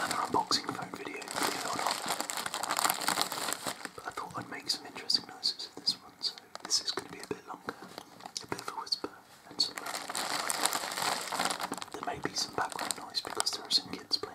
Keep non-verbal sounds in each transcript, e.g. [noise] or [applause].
Another unboxing phone video, But I thought I'd make some interesting noises with this one, so this is going to be a bit longer. A bit of whisper and some. There may be some background noise because there are some kids playing.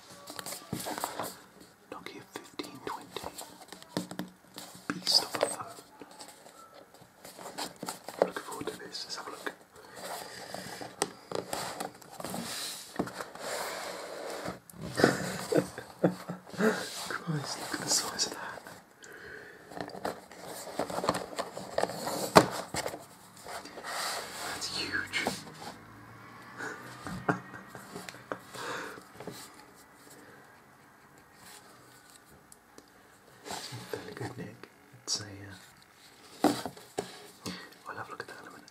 Nokia 1520. Beast of a phone. Looking forward to this. Let's have a look. [laughs] Christ, look at the size of that. That's huge. It's good neck. It's a. Uh... Oh, i at that a minute.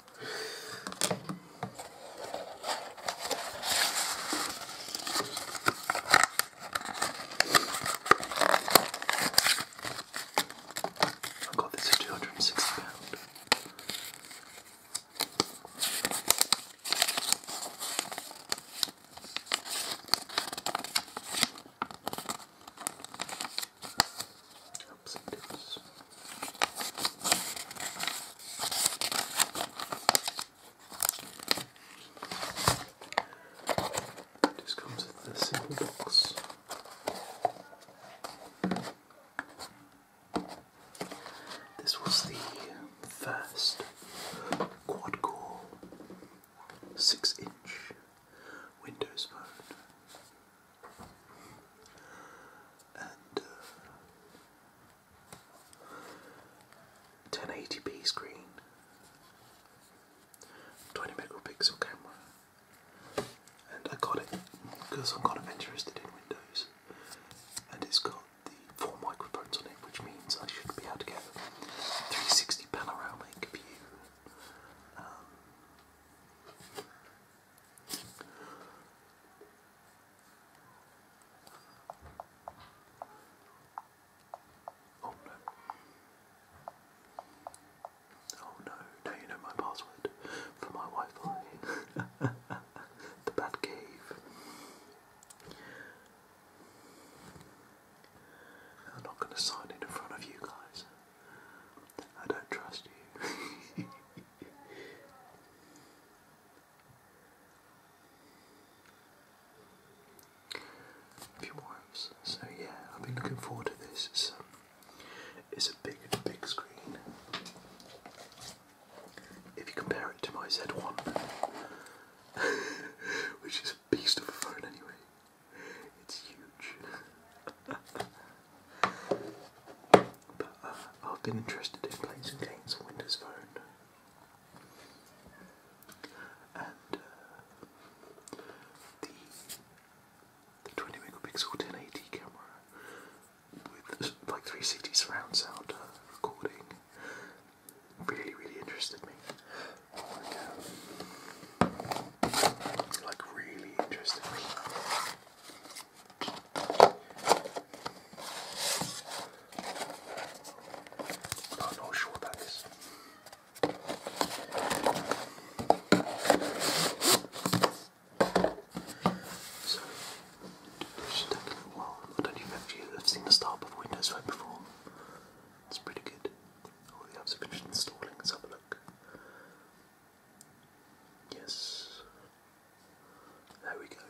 I got this for two hundred and sixty pounds. Oops, just comes with a simple box. This was the first quad core six inch Windows phone. And uh, 1080p screen, 20 megapixel camera, and I got it because I'm kind of interested in Windows, and it's got the four microphones on it, which means I should be able to get 360 panoramic view. Um, Oh no. Oh no, now you know my password for my Wi-Fi. the Bad Cave. I'm not going to sign in in front of you guys. [laughs] I don't trust you. [laughs] [laughs] A few wives. So yeah, I've been looking forward to this. It's, um, it's a big, big screen. If you compare it to my Z1, [laughs] which is a beast of a phone anyway, it's huge. [laughs] But uh, I've been interested in playing some games on Windows Phone. And uh, the, the 20 megapixel 1080 camera with like 360 surround sound uh, recording really, really interested me. like really interested me. Not no sure that is. So, I don't even know if you have seen the start of Windows Phone before. It's pretty good. All the apps are finished installing. Let's have a look. Yes. There we go.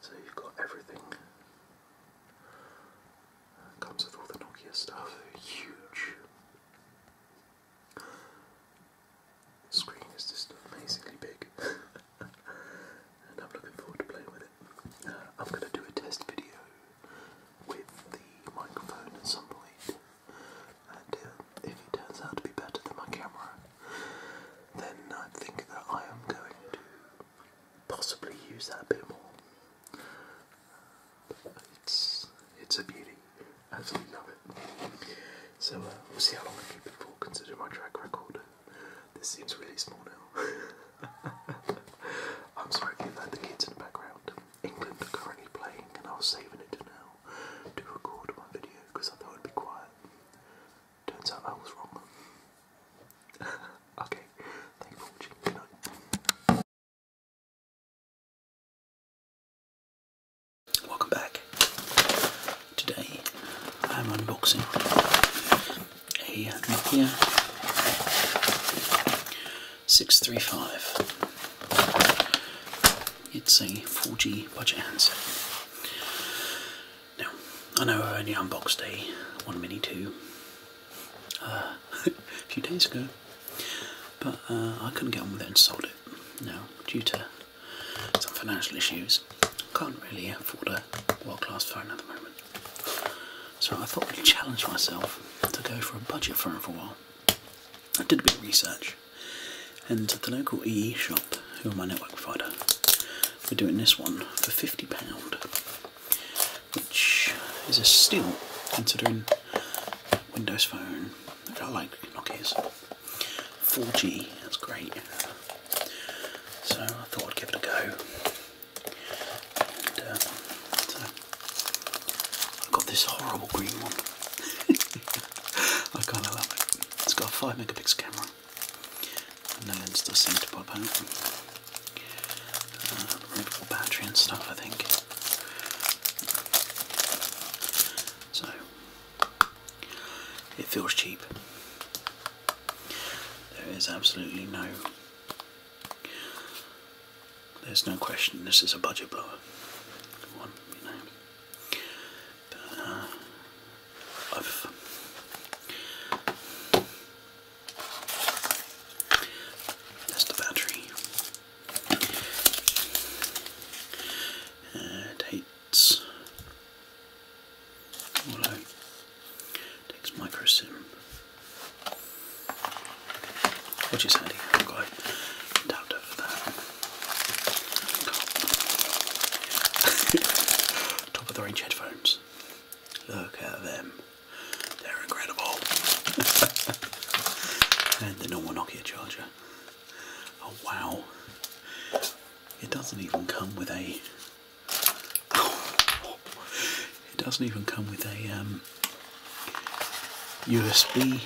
So you've got everything. comes with all the Nokia stuff. Huge. screen is just amazingly big. [laughs] and I'm looking forward to playing with it. Uh, I'm going to do a test video with the microphone at some And uh, if it turns out to be better than my camera, then I think that I am going to possibly use that a bit more. It's it's a beauty. Absolutely love it. So uh, we'll see how long I keep it for, considering my track record. This seems really small now. [laughs] I'm sorry if you heard the kids in the background. England are currently playing, and I was saving it now to record my video because I thought it'd be quiet. Turns out I was wrong. [laughs] okay, thanks for watching. Good night. Welcome back. Today I'm unboxing a Nokia 635. It's a 4G budget handset. Now, I know I only unboxed a One Mini 2 uh, [laughs] a few days ago, but uh, I couldn't get on with it and sold it. Now, due to some financial issues, can't really afford a world-class phone at the moment. So I thought I'd challenge myself to go for a budget phone for a while. I did a bit of research, and the local EE shop, who are my network provider, were doing this one for £50, which is a steal considering Windows Phone, I like Nokia's. 4G, that's great. So I thought I'd give it a go. Uh, I've got this horrible green one. [laughs] I kind of love it. It's got a 5 megapixel camera, and then it's the seem to pop out. Uh, removable battery and stuff, I think. So, it feels cheap. There is absolutely no there's no question this is a budget blower. One, you know. Uh, that's the battery. it hates takes micro sim which is saying, i [laughs] Top. of the range headphones. Look at them. They're incredible. [laughs] and the normal Nokia charger. Oh wow. It doesn't even come with a. [laughs] Oh, it doesn't even come with a USB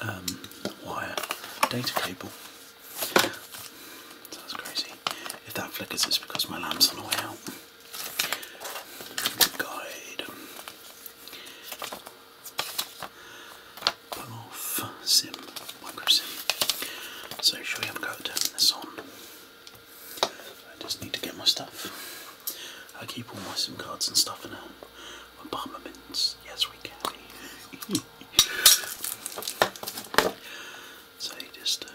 um, um, wire data cable. That's crazy. If that flickers, it's because my lamp's on the way out. Guide. Pull off sim, micro sim. So, shall we have a go this on? I just need to get my stuff. I keep all my SIM cards and stuff in a apartment. Yes, we can. [laughs] so just uh,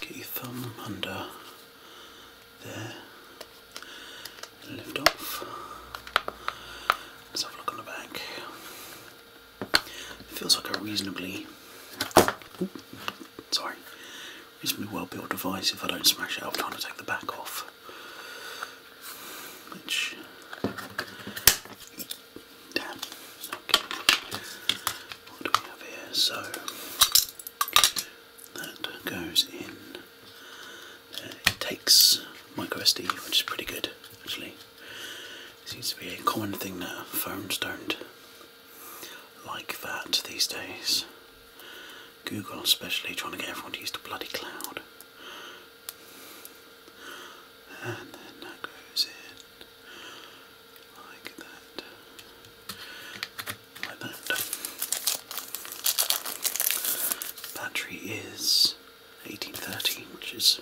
get your thumb under there and lift off. Let's have a look on the back. It feels like a reasonably sorry, a well built device. If I don't smash it, I'll try to take the back off. Which, damn, What do we have here? So, that goes in. Uh, it takes micro SD, which is pretty good actually. seems to be a common thing that firms don't like that these days. Google, especially, trying to get everyone to use the bloody cloud. And then that goes in like that, like that. Battery is 1830, which is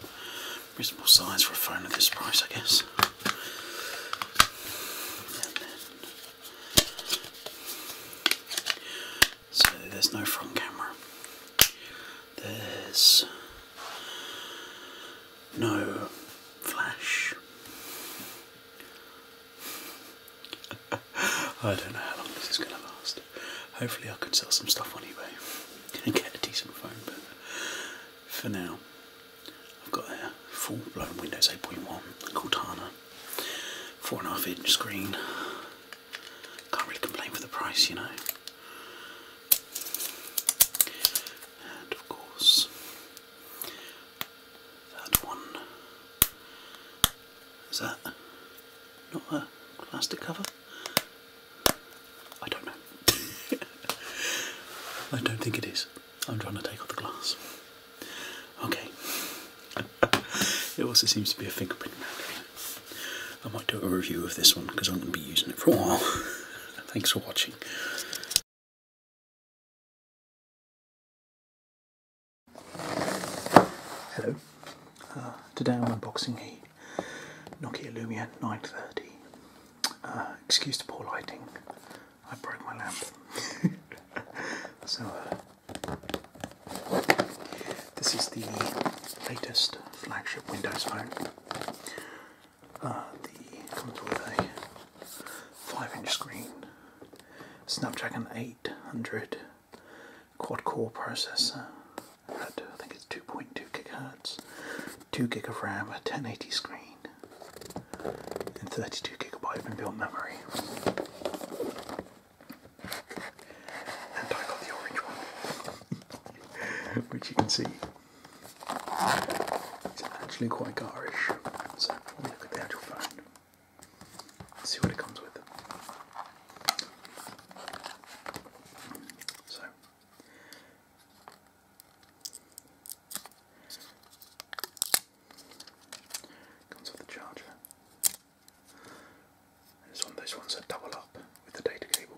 reasonable size for a phone at this price, I guess. So there's no front camera. There's no flash. [laughs] I don't know how long this is going to last. Hopefully, I can sell some stuff on eBay and get a decent phone, but for now, I've got a full blown Windows 8.1 Cortana, 4.5 inch screen. Can't really complain for the price, you know. And of course, that one. Is that not a plastic cover? I don't know. [laughs] I don't think it is. I'm trying to take off the glass. Okay. [laughs] it also seems to be a fingerprint I might do a review of this one because I'm going to be using it for a while. [laughs] Thanks for watching. Hello. Uh, today I'm unboxing a Nokia Lumia 930. Uh, excuse the poor lighting. I broke my lamp. [laughs] so, uh, this is the latest flagship Windows phone. Uh, the comes with a five-inch screen, Snapdragon 800 quad-core processor I think it's 2.2 gigahertz, two gig of RAM, a 1080 screen and 32 gigabyte inbuilt memory. And I got the orange one, [laughs] which you can see is actually quite garish. So we look at the actual phone see what it comes with. So Comes with the charger. And one of ones that double up with the data cable.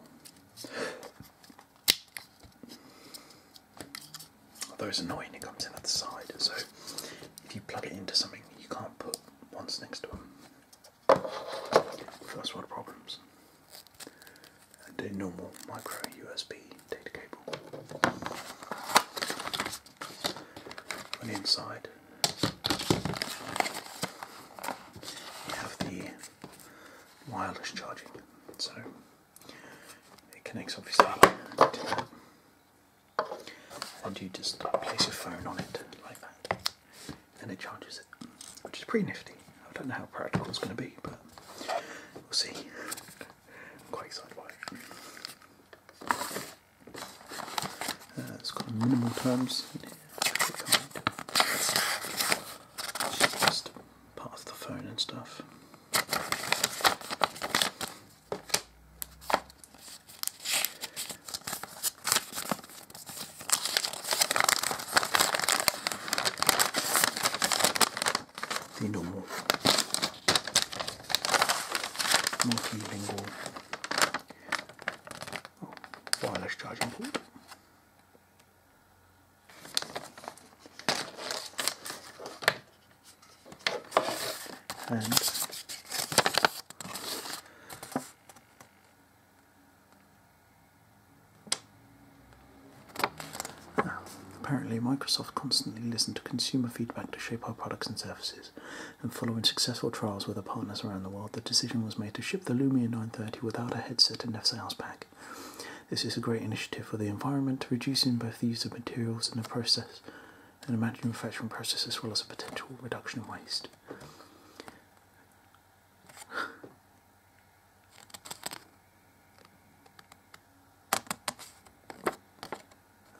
Although it's annoying, it comes in at the side, so if you plug it into something, you can't put ones next to it. That's one of the problems. And a normal micro USB data cable. On the inside, you have the wireless charging, so it connects obviously to that. And you just place your phone on it like that, and it charges it, which is pretty nifty. I don't know how practical it's going to be, but we'll see it. has uh, got minimal terms. just part of the phone and stuff the normal multilingual oh, wireless charging port. And apparently, Microsoft constantly listened to consumer feedback to shape our products and services. And following successful trials with our partners around the world, the decision was made to ship the Lumia 930 without a headset and a sales pack. This is a great initiative for the environment, reducing both the use of materials in the process and the manufacturing process, as well as a potential reduction in waste.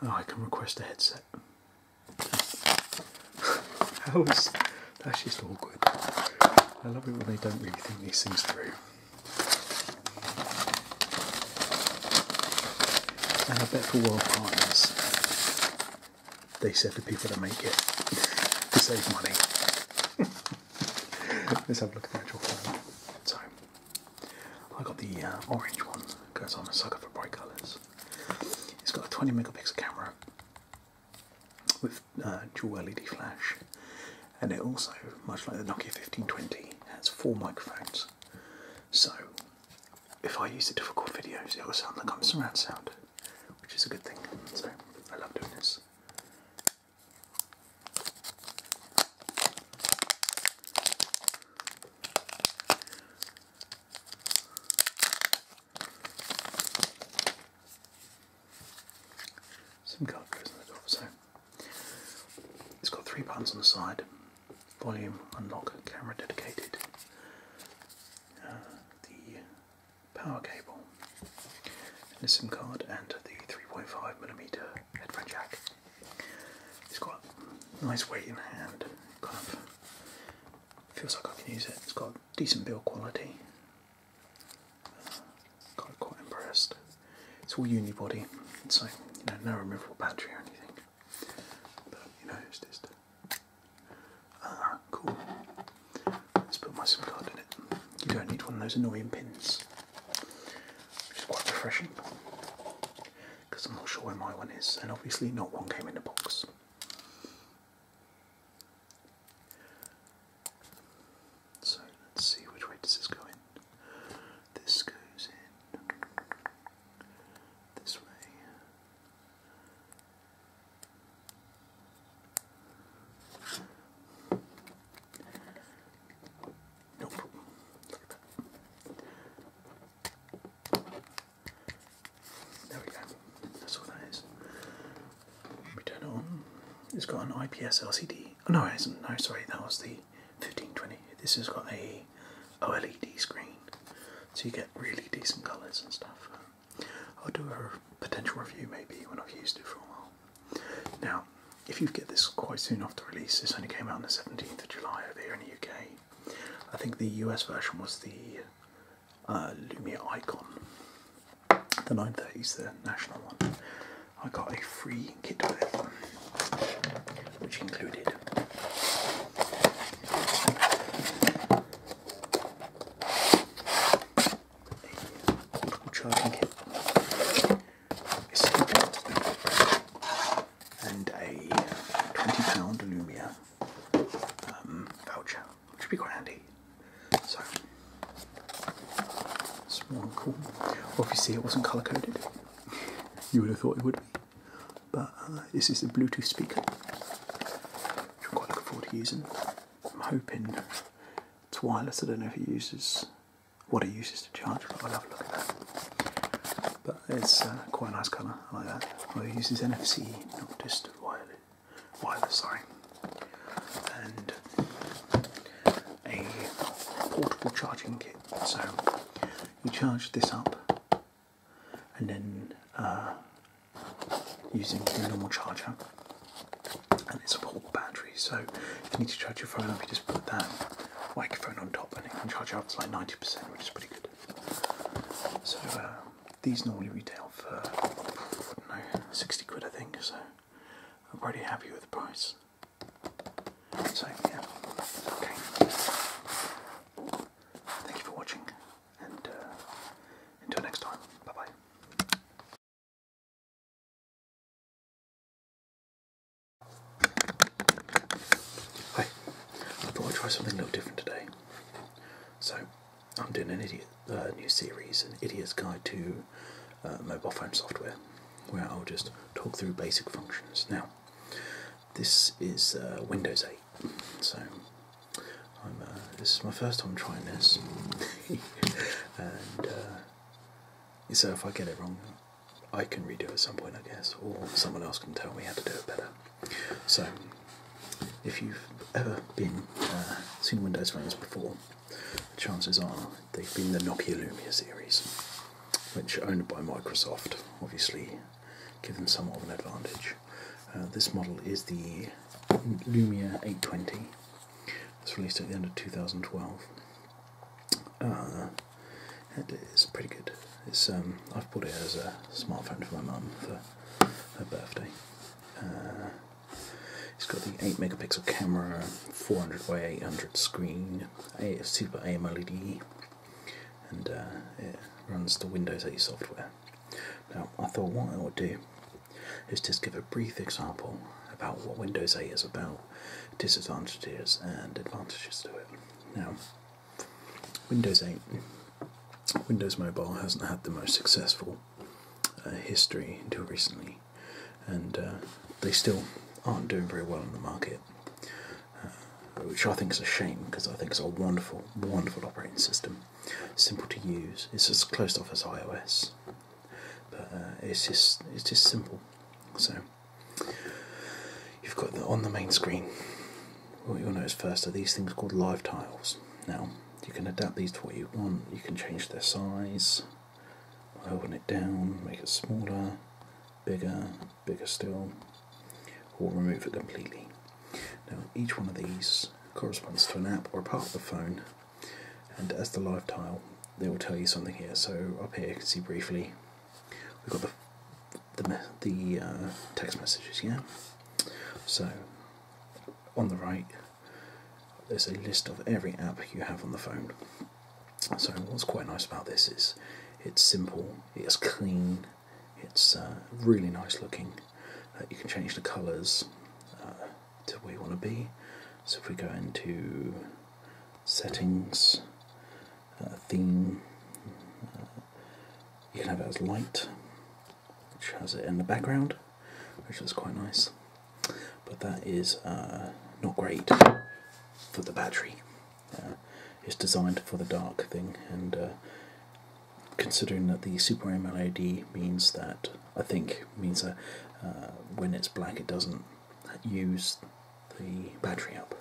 Oh, I can request a headset. [laughs] that's just awkward. I love it when they don't really think these things through. And I bet for world partners, they said to people to make it [laughs] to save money. [laughs] Let's have a look at the actual time. I got the uh, orange one because I'm a sucker for bright colours. It's got a 20 megapixel camera with uh, dual LED flash, and it also, much like the Nokia 1520, has four microphones. So if I use it for difficult videos, it will sound like I'm surround sound, which is a good thing. So I love doing this. SIM card goes in the top, so it's got three buttons on the side volume, unlock, camera dedicated, uh, the power cable, and the SIM card, and the 35 millimeter headphone jack. It's got a nice weight in hand, kind of feels like I can use it. It's got decent build quality. Uh, kind of quite impressed. It's all unibody, so you know, no removable battery or anything. But you know, it's just uh, cool. Let's put my SIM card in it. You don't need one of those annoying pins which is quite refreshing because I'm not sure where my one is, and obviously not one came in the box. So let's see which way does this go in. This goes in this way. No problem. There we go. That's what that is. We turn it on. It's got an IPS LCD. Oh, no, it isn't. No, sorry, that was the 1520. This has got a OLED screen, so you get really decent colours and stuff. I'll do a potential review maybe when I've used it for a while. Now, if you get this quite soon after release, this only came out on the 17th of July over here in the UK. I think the US version was the uh, Lumia Icon, the is the national one. I got a free kit with it, which included a portable charging kit and a £20 Lumia um, voucher, which would be quite handy. So, small and cool. Obviously, it wasn't colour coded. [laughs] You would have thought it would be. But uh, this is a Bluetooth speaker, which I'm quite looking forward to using. I'm hoping it's wireless. I don't know if it uses what it uses to charge. I'll have a look at that. But it's uh, quite a nice colour, I like that. Well, it uses NFC, not just wireless, wireless sorry. And a portable charging kit. So you charge this up and then uh, using the normal charger and it's all battery. So if you need to charge your phone up, you just put that microphone on top and it can charge up to like 90%, which is pretty good. So uh, these normally retail for, I know, 60 quid I think, so I'm pretty happy with the price. So yeah, okay. Thank you for watching and uh, until next time, bye bye. Hi, I thought I'd try something a little different today. So, I'm doing an idiot uh, new series, an idiot's guide to uh, mobile phone software, where I'll just talk through basic functions. Now, this is uh, Windows 8, so this is my first time trying this, [laughs] and so if I get it wrong, I can redo at some point, I guess, or someone else can tell me how to do it better. So, if you've ever been uh, seen Windows phones before, chances are they've been the Nokia Lumia series, which owned by Microsoft, obviously, give them somewhat of an advantage. Uh, this model is the Lumia 820. It's released at the end of 2012. Uh, it is pretty good. It's um, I've bought it as a smartphone for my mum for her birthday. Uh, it's got the 8 megapixel camera, 400 by 800 screen, a super AMOLED, and uh, it runs the Windows 8 software. Now, I thought what I would do is just give a brief example about what Windows 8 is about disadvantages and advantages to it. Now, Windows 8, Windows Mobile hasn't had the most successful uh, history until recently, and uh, they still aren't doing very well in the market, uh, which I think is a shame because I think it's a wonderful, wonderful operating system, simple to use. It's as close off as iOS but uh, it's just it's just simple. So you've got the, on the main screen. What you'll notice first are these things called live tiles. Now you can adapt these to what you want. You can change their size by holding it down, make it smaller, bigger, bigger still, or remove it completely. Now each one of these corresponds to an app or part of the phone and as the live tile, they will tell you something here. So up here, you can see briefly, we've got the the, the uh, text messages. here. So on the right, there's a list of every app you have on the phone. So what's quite nice about this is it's simple, it's clean, it's uh, really nice looking. Uh, you can change the colours to where we want to be. So if we go into settings, uh, theme, uh, you can have it as light, which has it in the background, which is quite nice. But that is uh, not great for the battery. it's designed for the dark thing, and considering that the Super AMOLED means that, I think, means that when it's black it doesn't that use the battery up.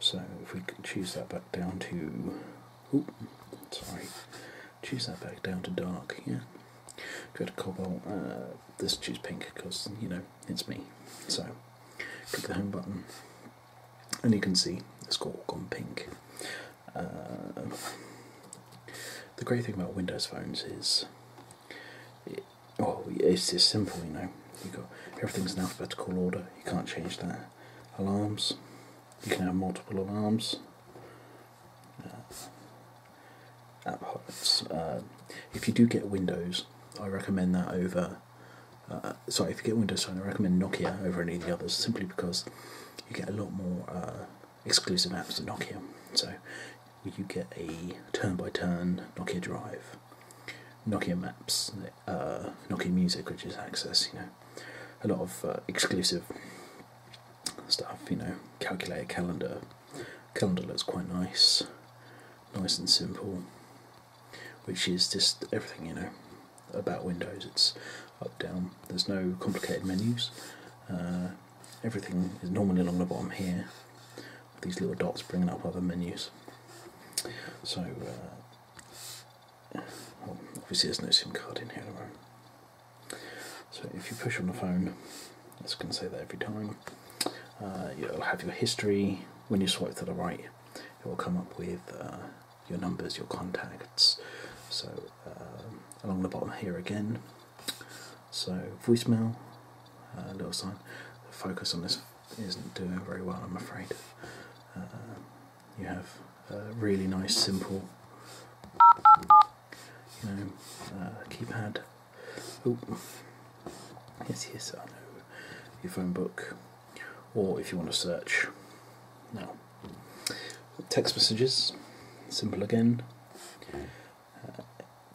So if we choose that back down to, ooh, sorry, choose that back down to dark, yeah. Go to cobalt, uh, this choose pink because, you know, it's me. So click the home button and you can see it's all gone pink. Uh, the great thing about Windows phones is oh, it's just simple, you know. You got everything's in alphabetical order. You can't change that. Alarms. You can have multiple alarms. Uh, apps. Uh, if you do get Windows, I recommend that over. Uh, sorry, if you get Windows I recommend Nokia over any of the others, simply because you get a lot more exclusive apps than Nokia. So you get a turn-by-turn Nokia Drive, Nokia Maps, uh, Nokia Music, which is Access. You know, a lot of uh, exclusive stuff. You know, calculator calendar. Calendar looks quite nice, nice and simple. Which is just everything you know about Windows. It's up down. There's no complicated menus. Uh, everything is normally along the bottom here these little dots bringing up other menus so uh, obviously there's no SIM card in here so if you push on the phone it's going to say that every time you'll uh, have your history when you swipe to the right it will come up with uh, your numbers your contacts so along the bottom here again so voicemail, uh, little sign. The focus on this isn't doing very well, I'm afraid. Uh, you have a really nice, simple, you know, uh, keypad. Oh, yes, yes, I know. Your phone book, or if you want to search. Now, text messages, simple again. Uh,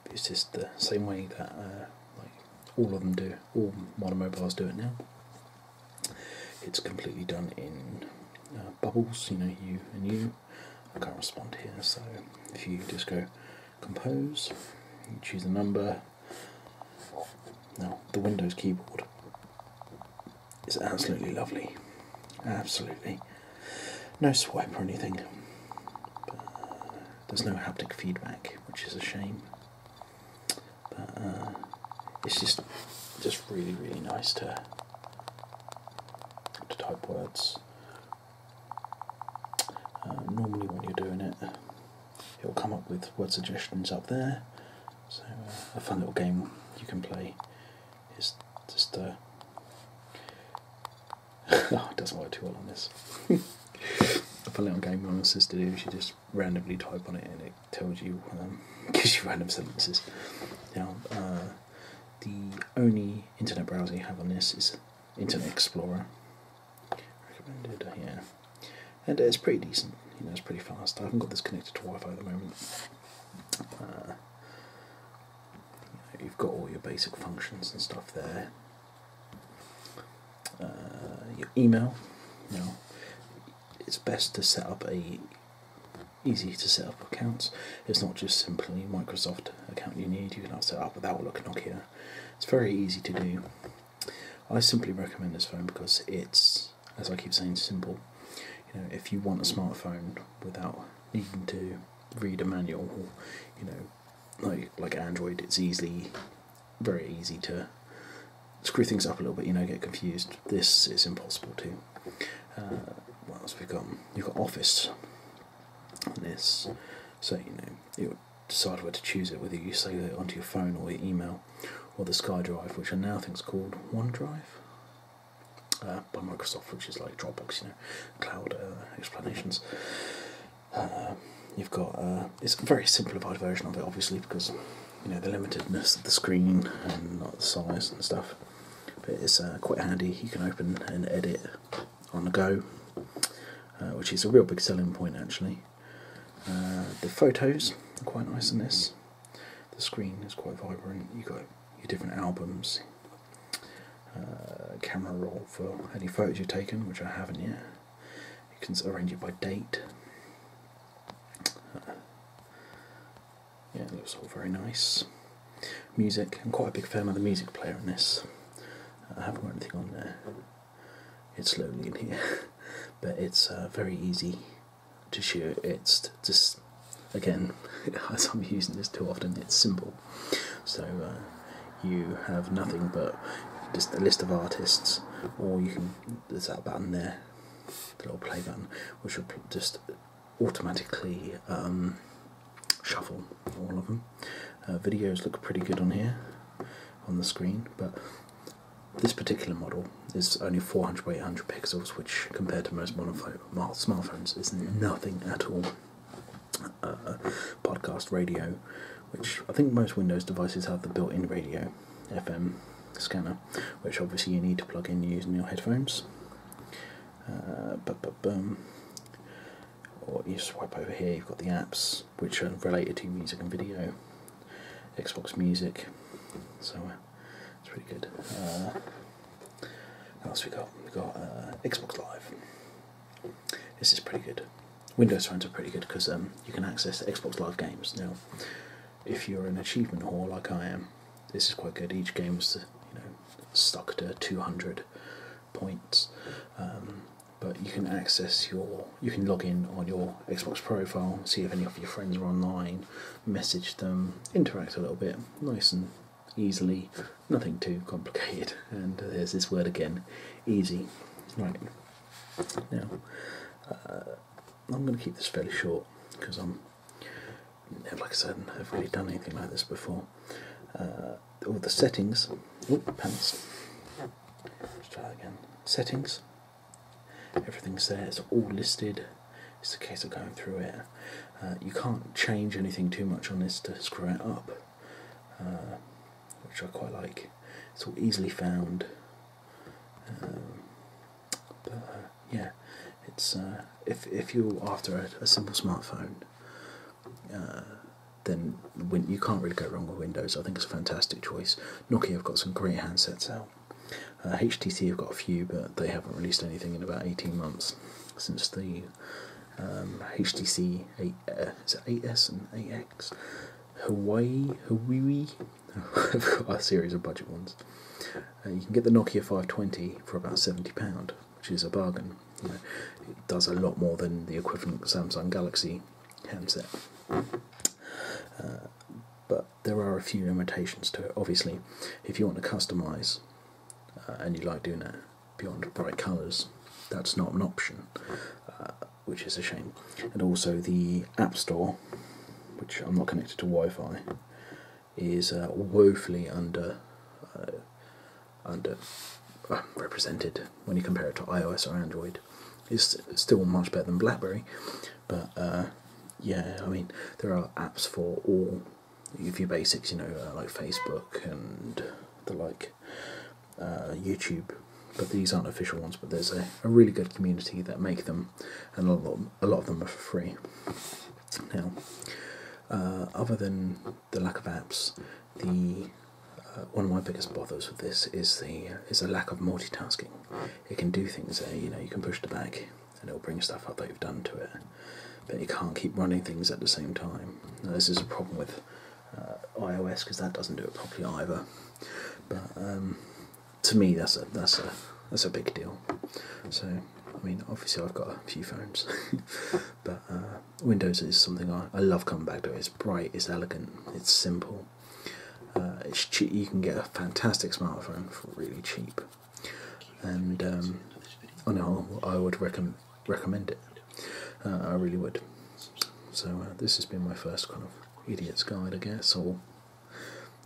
it's just the same way that uh, like all of them do, all modern mobiles do it now. It's completely done in uh, bubbles, you know, you and you. I can't respond here, so if you just go compose, choose a number. Now, the Windows keyboard is absolutely lovely. Absolutely. No swipe or anything. Uh, there's no haptic feedback, which is a shame. But uh, it's just just really really nice to to type words. Um, normally, when you're doing it, it'll come up with word suggestions up there. So uh, a fun little game you can play is just [laughs] it doesn't work too well on this. I play on game with my sister do, she just randomly type on it and it tells you, um, [laughs] gives you random sentences. Now, uh, the only internet browser you have on this is Internet Explorer. Recommended, uh, yeah. And it's pretty decent, you know, it's pretty fast. I haven't got this connected to Wi Fi at the moment. Uh, You've got all your basic functions and stuff there. Uh, your email. You know, it's best to set up a easy to set up accounts. It's not just simply Microsoft account you need. You can set up without Outlook, Nokia. It's very easy to do. I simply recommend this phone because it's, as I keep saying, simple. You know, if you want a smartphone without needing to read a manual or you know like like Android it's easily very easy to screw things up a little bit you know get confused this is impossible to uh, what else we got you've got office on this so you know you decide where to choose it whether you save it onto your phone or your email or the SkyDrive which I now think is called OneDrive uh, by Microsoft, which is like Dropbox, you know, cloud uh, explanations. Uh, you've got it's a very simplified version of it, obviously, because you know the limitedness of the screen and not the size and stuff. But it's quite handy. You can open and edit on the go, which is a real big selling point, actually. the photos are quite nice in this. The screen is quite vibrant. You got your different albums, uh, camera roll for any photos you've taken, which I haven't yet. You can arrange it by date. Uh, yeah, looks all very nice. Music, I'm quite a big fan of the music player in this. I haven't got anything on there. It's lonely in here, [laughs] but it's uh, very easy to shoot. It's just, again, [laughs] as I'm using this too often, it's simple. So uh, you have nothing but just a list of artists, or you can there's that button there, the little play button, which will just automatically um, shuffle all of them. Uh, videos look pretty good on here on the screen, but this particular model is only 400 by 800 pixels, which compared to most smartphones is nothing at all. Uh, podcast radio, which I think most Windows devices have the built in radio FM scanner, which obviously you need to plug in using your headphones. but, uh, but, um, or you swipe over here, you've got the apps which are related to music and video, Xbox Music, so uh, it's pretty good. What else we got? We got uh, Xbox Live. This is pretty good. Windows phones are pretty good because um, you can access Xbox Live games now. If you're an achievement whore like I am, this is quite good. Each game's you know stuck to 200 points, um, but you can access your you can log in on your Xbox profile, see if any of your friends are online, message them, interact a little bit. Nice and easily, nothing too complicated. [laughs] And there's this word again, easy. Right. Now, uh, I'm going to keep this fairly short because I'm, like I said, I've really done anything like this before. Uh, all the settings. Oh, pants. Let's try again. Settings. Everything's there. It's all listed. It's a case of going through it uh, you can't change anything too much on this to screw it up, uh, which I quite like. It's all easily found. Um, but uh, yeah, it's if if you're after a, simple smartphone, then you can't really go wrong with Windows. I think it's a fantastic choice. Nokia have got some great handsets out. HTC have got a few, but they haven't released anything in about 18 months since the um, HTC 8, uh, 8S and 8X, Hawaii, Hawaii. I've got a series of budget ones. Uh, you can get the Nokia 520 for about £70, which is a bargain. it does a lot more than the equivalent Samsung Galaxy handset. Uh, but there are a few limitations to it. Obviously, if you want to customize uh, and you like doing that, beyond bright colours. That's not an option, uh, which is a shame. And also the App Store, which I'm not connected to Wi-Fi, is uh, woefully under uh, under represented when you compare it to iOS or Android. It's still much better than BlackBerry, but yeah, I mean there are apps for all your basics, you know, uh, like Facebook and the like, uh, YouTube. But these aren't official ones. But there's a, a really good community that make them, and a lot a lot of them are for free. Now, uh, other than the lack of apps, the one of my biggest bothers with this is the is the lack of multitasking. It can do things there, you know, you can push the back, and it'll bring stuff up that you've done to it but you can't keep running things at the same time. this is a problem with uh, iOS because that doesn't do it properly either. But um, to me, that's a that's a that's a big deal. So I mean, obviously I've got a few phones, [laughs] but uh, Windows is something I, I love coming back to. It's bright, it's elegant, it's simple. Uh, it's cheap. You can get a fantastic smartphone for really cheap and um, on oh, I would recommend recommend it. Uh, I really would. So uh, this has been my first kind of idiot's guide, I guess, or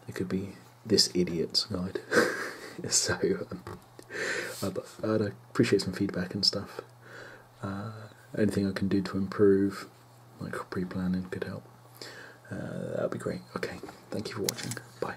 it could be this idiot's guide. [laughs] so um, I'd, appreciate some feedback and stuff. Uh, anything I can do to improve, like pre-planning, could help. that'd be great. Okay, thank you for watching. Bye.